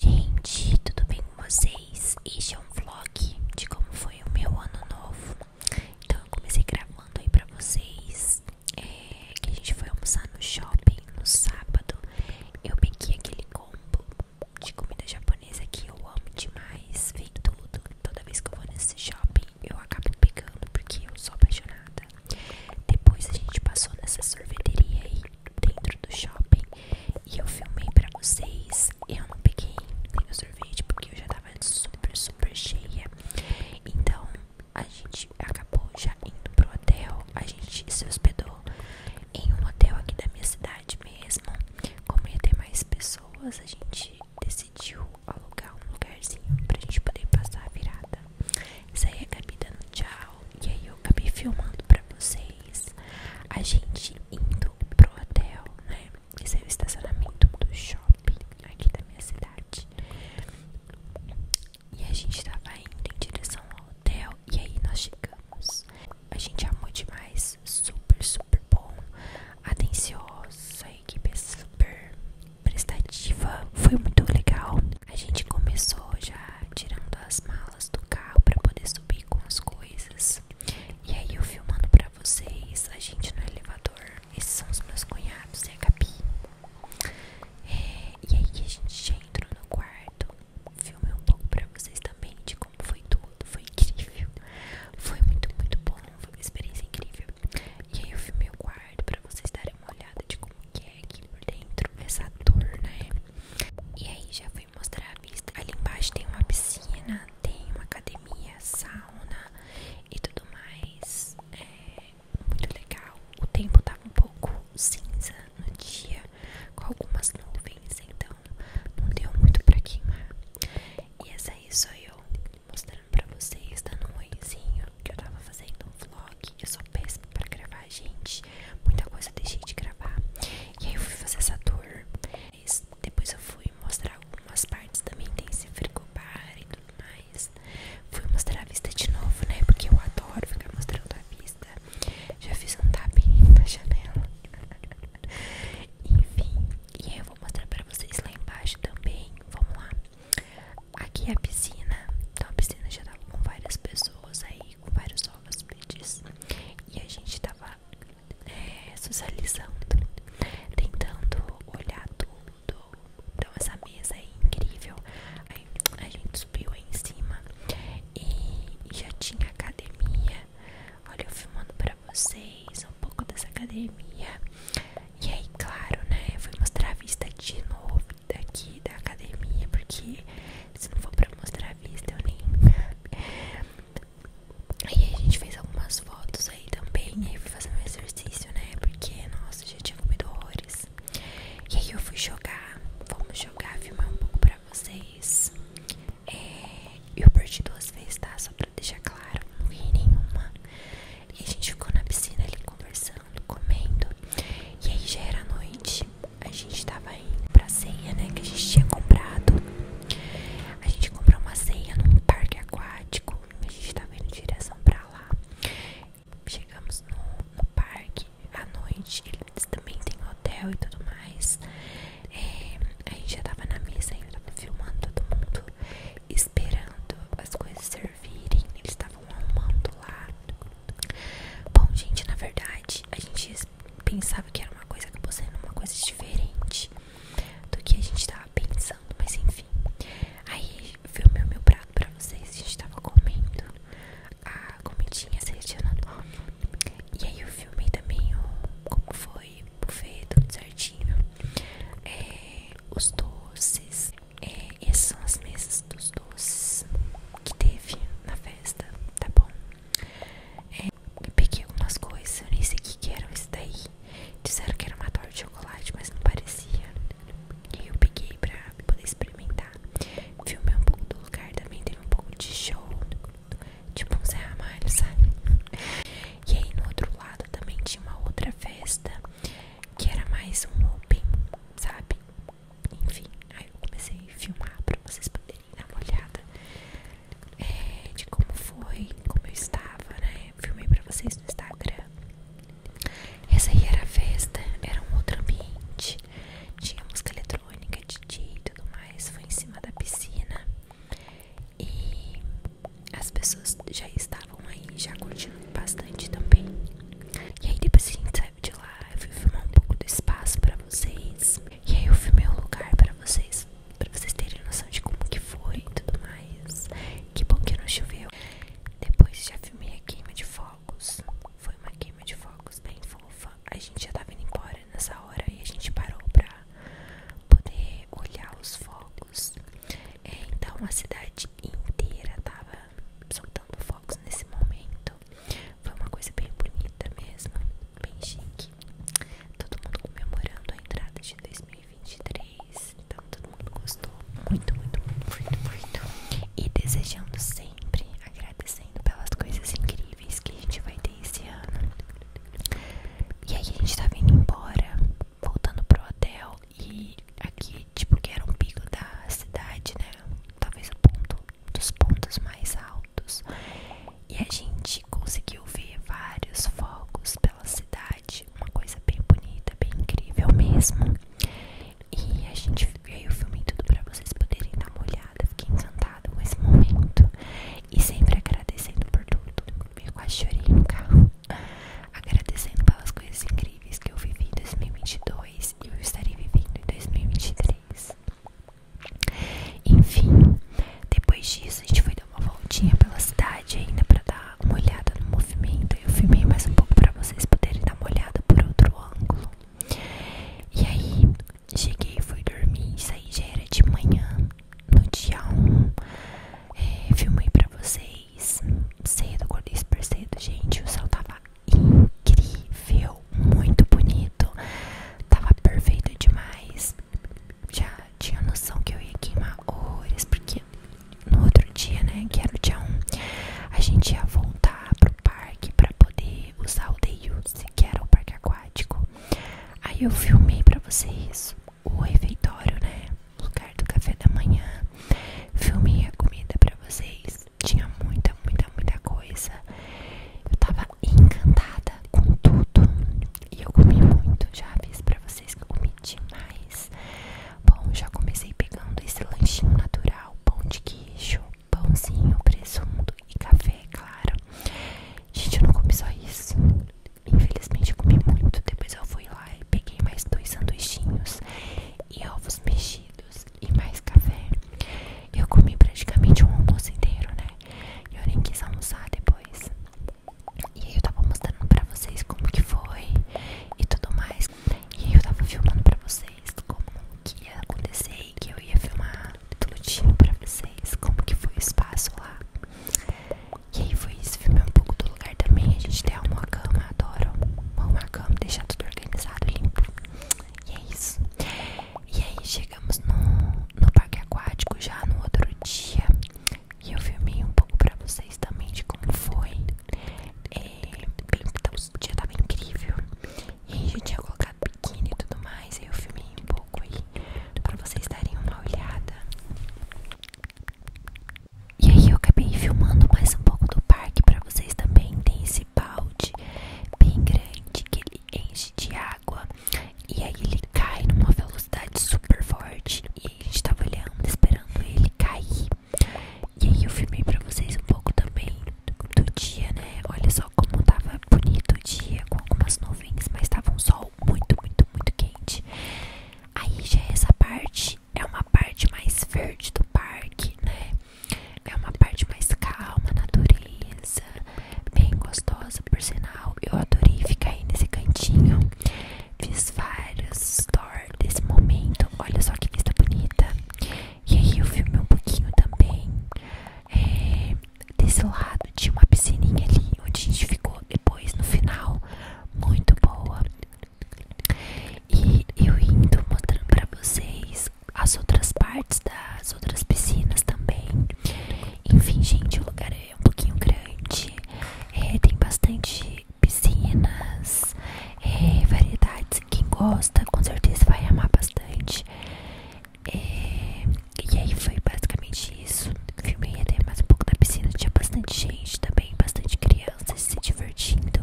Gente, tudo bem com vocês? Este é um vlog de como foi o meu ano novo. Então eu comecei gravando aí pra vocês é, que a gente foi almoçar no shopping no sábado. Eu peguei aquele combo de comida japonesa que eu amo demais. Vem tudo. Toda vez que eu vou nesse shopping eu acabo pegando porque eu sou apaixonada. Depois a gente passou nessa sorveteria aí dentro do shopping e eu filmei pra vocês. Eu não peguei nem o sorvete porque eu já tava super, super cheia. Então a gente acabou já indo pro hotel. A gente se hospedou em um hotel aqui da minha cidade mesmo. Como ia ter mais pessoas, a gente decidiu alugar um lugarzinho pra gente poder passar a virada. Isso aí acabei dando tchau. E aí eu acabei filmando pra vocês a gente indo pro hotel, né? Esse é o estacionamento do shopping aqui da minha cidade. E a gente tava indo em direção ao hotel. E aí nós chegamos. A gente amou demais. Super, super bom. Atencioso. A equipe é super prestativa. Foi muito legal. A gente começou já tirando as malas do carro para poder subir com as coisas. E aí eu filmando para vocês a gente no elevador. Esses são os meus cunhados e a Gabi. É, e aí a gente já entrou no quarto. Filmei um pouco para vocês também de como foi tudo. Foi incrível. Foi muito, muito bom. Foi uma experiência incrível. E aí eu filmei o quarto para vocês darem uma olhada de como que é aqui por dentro, é Saturno, né? E aí já fui mostrar a vista. Ali embaixo tem uma piscina, tem uma academia, sauna e tudo mais. É muito legal. O tempo tava um pouco cinza no dia, com algumas nuvens, então não deu muito pra queimar. E essa aí sou eu mostrando pra vocês dando um noizinho que eu tava fazendo um vlog eu sou péssima para gravar, gente. Muita coisa eu deixei de gravar. E aí eu fui fazer essa tour. Depois eu fui mostrar algumas partes também. Tem se frigobar e tudo mais. Fui mostrar a vista de novo, né? Porque eu adoro ficar mostrando a vista. Já fiz um tapinha na janela. Enfim. E aí eu vou mostrar para vocês lá embaixo também. Vamos lá aqui é a piscina. Então a piscina já tava com várias pessoas aí, com vários hóspedes. E a gente tava é, socializando, tentando olhar tudo. Então essa mesa é incrível. Aí a gente subiu aí em cima e já tinha academia. Olha eu filmando pra vocês um pouco dessa academia. E aí, claro, né? Eu fui mostrar a vista de novo daqui da academia, porque se não for pra mostrar a vista, eu nem. Aí a gente fez algumas fotos aí também. E aí fui fazer um exercício, né? Porque, nossa, já tinha comido horrores. E aí eu fui jogar. Vamos jogar, filmar um pouco pra vocês. É, eu perdi duas vezes, tá? Só pra deixar claro, não vi nenhuma. E a gente ficou na piscina ali conversando comendo. E aí já era noite, a gente tava indo pra ceia, né? Que a gente tinha comprado. A gente comprou uma ceia num parque aquático. A gente tava indo em direção pra lá. Chegamos no, parque à noite. Eles também tem hotel e tudo mais. É, a gente já tava na mesa e eu tava filmando todo mundo, esperando as coisas servir virem, eles estavam arrumando lá. Bom, gente, na verdade, a gente pensava que era uma coisa, acabou sendo uma coisa diferente do que a gente tava pensando, mas enfim. Aí filmei o meu prato pra vocês, a gente tava comendo a comidinha selecionando. E aí eu filmei também o, como foi o buffet, tudo certinho. É, os doces, é, essas são as mesas dos doces que teve na festa, tá bom? É, eu peguei algumas coisas, eu nem sei o que, eram isso daí. Disseram que era uma torta de chocolate, mas não parecia. E eu peguei pra poder experimentar. Filmei um pouco do lugar, também teve um pouco de show. Tipo um Zé sabe? E aí no outro lado também tinha uma outra festa que era mais um open, sabe? Enfim, aí eu comecei a filmar pra vocês poderem dar uma olhada eh, de como foi, como eu estava, né? Filmei pra vocês no Instagram. Essa aí era a festa, era um outro ambiente, tinha música eletrônica, DJ e tudo mais, foi em cima da piscina. E as pessoas já estavam estavam aí já curtindo bastante também. E aí depois a gente saiu de lá, eu fui filmar um pouco do espaço para vocês. E aí eu filmei o um lugar para vocês, pra vocês terem noção de como que foi e tudo mais. Que bom que não choveu. Depois já filmei a queima de fogos. Foi uma queima de fogos bem fofa. A gente já tava indo embora nessa hora e a gente parou para poder olhar os fogos. É, então uma cidade inteira tava soltando fogos nesse momento. Foi uma coisa bem bonita mesmo, bem chique. Todo mundo comemorando a entrada de 2023. Então todo mundo gostou muito, muito, muito, muito, muito. E desejando sempre, agradecendo pelas coisas incríveis que a gente vai ter esse ano. E aí a gente tá vindo embora voltando pro hotel e aqui, tipo, que era um pico da cidade, né? Talvez o ponto dos pontos mais altos. E a gente conseguiu ver vários fogos pela cidade, uma coisa bem bonita, bem incrível mesmo. E a gente veio o filme tudo para vocês poderem dar uma olhada. Fiquei encantada com esse momento. E sempre agradecendo por tudo. Meu quase chorei no carro agradecendo pelas coisas incríveis que eu vivi em 2022 e eu estarei vivendo em 2023. Enfim, depois disso a gente foi dar uma voltinha pela cidade ainda para dar uma olhada no movimento. Eu filmei mais um pouco para vocês poderem dar uma olhada por outro ângulo. E aí, cheguei, fui dormir, isso aí já era de manhã, no dia 1, é, filmei pra vocês 6 cedo, acordei super cedo, gente. O céu tava incrível, muito bonito, tava perfeito demais. Já tinha noção que eu ia queimar horas, porque no outro dia, né, que era o dia 1, a gente ia voltar pro parque para poder usar o Day Use, que era o parque aquático. Aí eu filmei para vocês o refeitório, né? lugar do café da manhã. Filmei a comida pra vocês. Tinha muita, muita, muita coisa. Eu tava encantada com tudo. E eu comi muito. Já aviso pra vocês que eu comi demais. Bom, já comecei pegando esse lanchinho natural: pão de queijo, pãozinho, presunto e café, claro. Gente, eu não comi só isso. Infelizmente comi muito. Depois eu fui lá e peguei mais dois sanduichinhos e ovos mexidos e mais café. Eu comi praticamente um almoço inteiro, né? Eu nem quis almoçar depois. E aí eu tava mostrando pra vocês como que foi e tudo mais. E aí eu tava filmando pra vocês como que ia acontecer e que eu ia filmar tudo tudinho pra vocês como que foi o espaço lá. E aí foi isso, filmei um pouco do lugar também. A gente até arrumou a cama, adoro arrumar a cama, deixar tudo organizado, limpo. E é isso. E aí chegamos no, no parque aquático já no outro dia. E eu filmei um pouco pra vocês também de como foi. É, então o dia tava incrível. E a gente tinha colocado biquíni e tudo mais. E eu filmei um pouco aí pra vocês darem uma olhada. E aí eu acabei filmando mais um pouco do parque para vocês também. Tem esse balde bem grande que ele enche de água e aí ele cai numa velocidade super forte. E a gente tava olhando, esperando ele cair. E aí eu filmei pra vocês um pouco também do dia, né? Olha só como tava bonito o dia, com algumas nuvens, mas tava um sol muito, muito, muito quente. Aí já é essa parte é uma parte mais verde do parque, né? É uma parte mais calma, natureza, bem gostosa, por sinal. Eu adorei ficar aí nesse cantinho. Fiz vários stories desse momento. Olha só que vista bonita. E aí eu filmei um pouquinho também. É, desse lado tinha uma piscininha ali onde a gente ficou depois no final muito boa e eu indo mostrando para vocês as outras partes das outras piscinas também enfim gente o lugar é um pouquinho grande é, tem bastante piscinas é, variedades quem gosta com certeza vai amar bastante é, e aí foi basicamente isso. Filmei até mais um pouco da piscina. Tinha bastante gente também, bastante crianças se divertindo.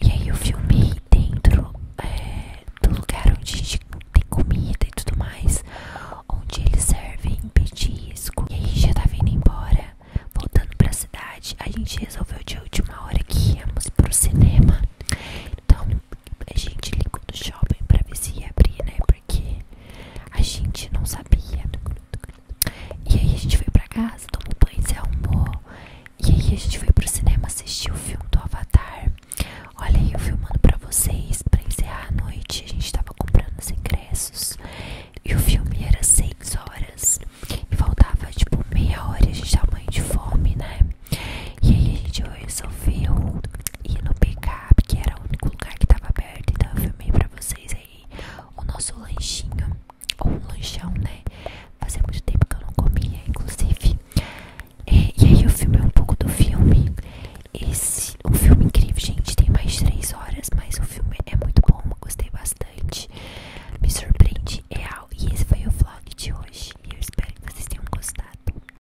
E aí eu filmei dentro é, do lugar onde a gente tem comida e tudo mais. Onde eles servem petisco. E aí já tava vindo embora. Voltando pra cidade, a gente resolveu de última hora que íamos pro cinema. Então a gente ligou do shopping pra ver se ia abrir, né? Porque a gente não sabia. E aí a gente foi pra casa, tomou banho, se arrumou. E aí a gente foi pro cinema assistir o filme do Avatar. Olha aí eu filmando pra vocês, pra encerrar a noite. A gente tava comprando os ingressos. E o filme era 6 horas. E faltava tipo meia hora. A gente tava morrendo de fome, né? E aí a gente resolveu ir no pick-up, que era o único lugar que tava aberto. Então eu filmei pra vocês aí o nosso lanchinho, ou um lanchão, né? Fazia muito tempo que eu não comia, inclusive. É, e, aí eu filmei é um pouco do filme. Esse, um filme incrível, gente. Tem mais de 3 horas, mas o filme é muito bom. Eu gostei bastante. Me surpreende real. E esse foi o vlog de hoje. E eu espero que vocês tenham gostado.